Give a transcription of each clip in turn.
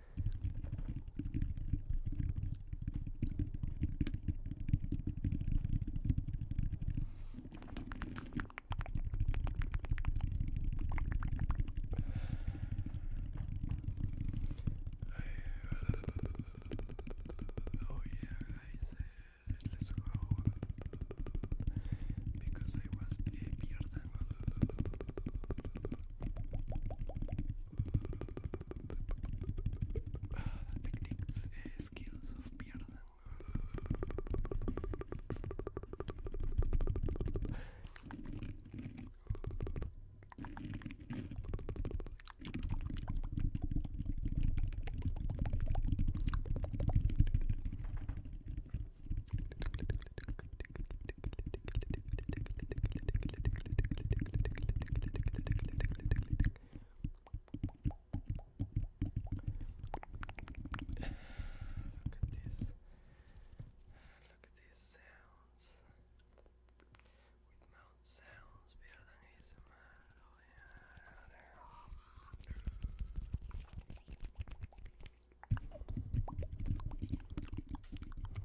Oh, yeah, I let's go because I was happier Techniques, uh, skills of pierden. Look at this. Look at these sounds. With mouth sounds, better than ASMR. Oh yeah.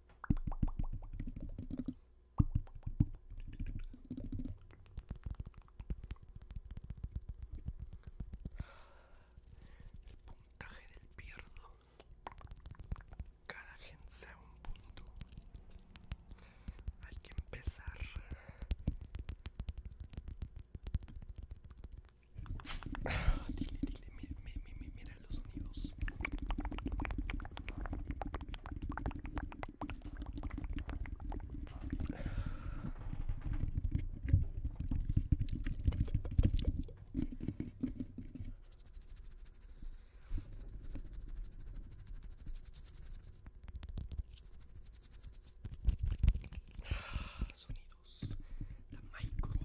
El puntaje del pierdo. Cada gente sea un punto. Hay que empezar. Ah, dile, dile, mira, mira, mira, entre los sonidos. Ah, sonidos de micrófono,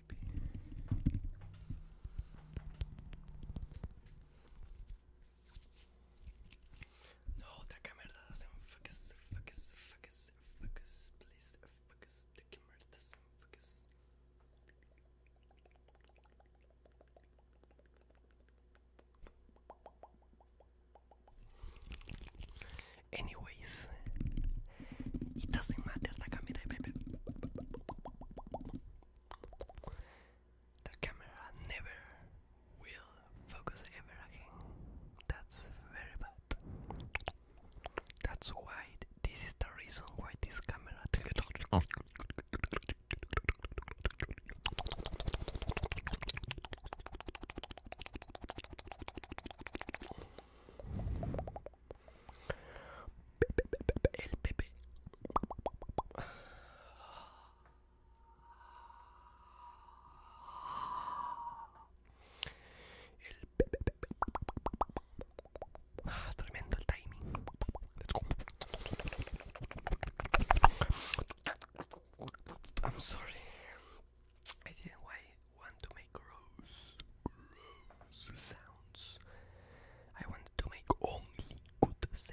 sleepy. No, the camera doesn't focus, focus, focus, focus, please focus. The camera doesn't Anyway, it doesn't matter the camera, baby. The camera never will focus ever again. That's very bad. That's why this is the reason why this camera. El Pepe. El Pepe. Ah, tremendo el timing. Let's go. I'm sorry. I didn't wait want to make gross, sounds. I want to make only good sounds.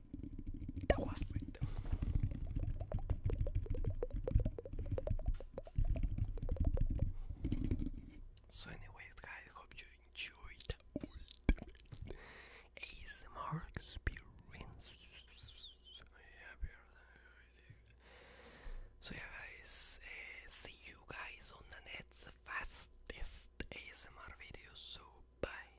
that was it. So, anyways, guys, hope you enjoyed the ASMR experience. So, yeah, guys, eh, see you guys on the next fastest ASMR video. So, bye.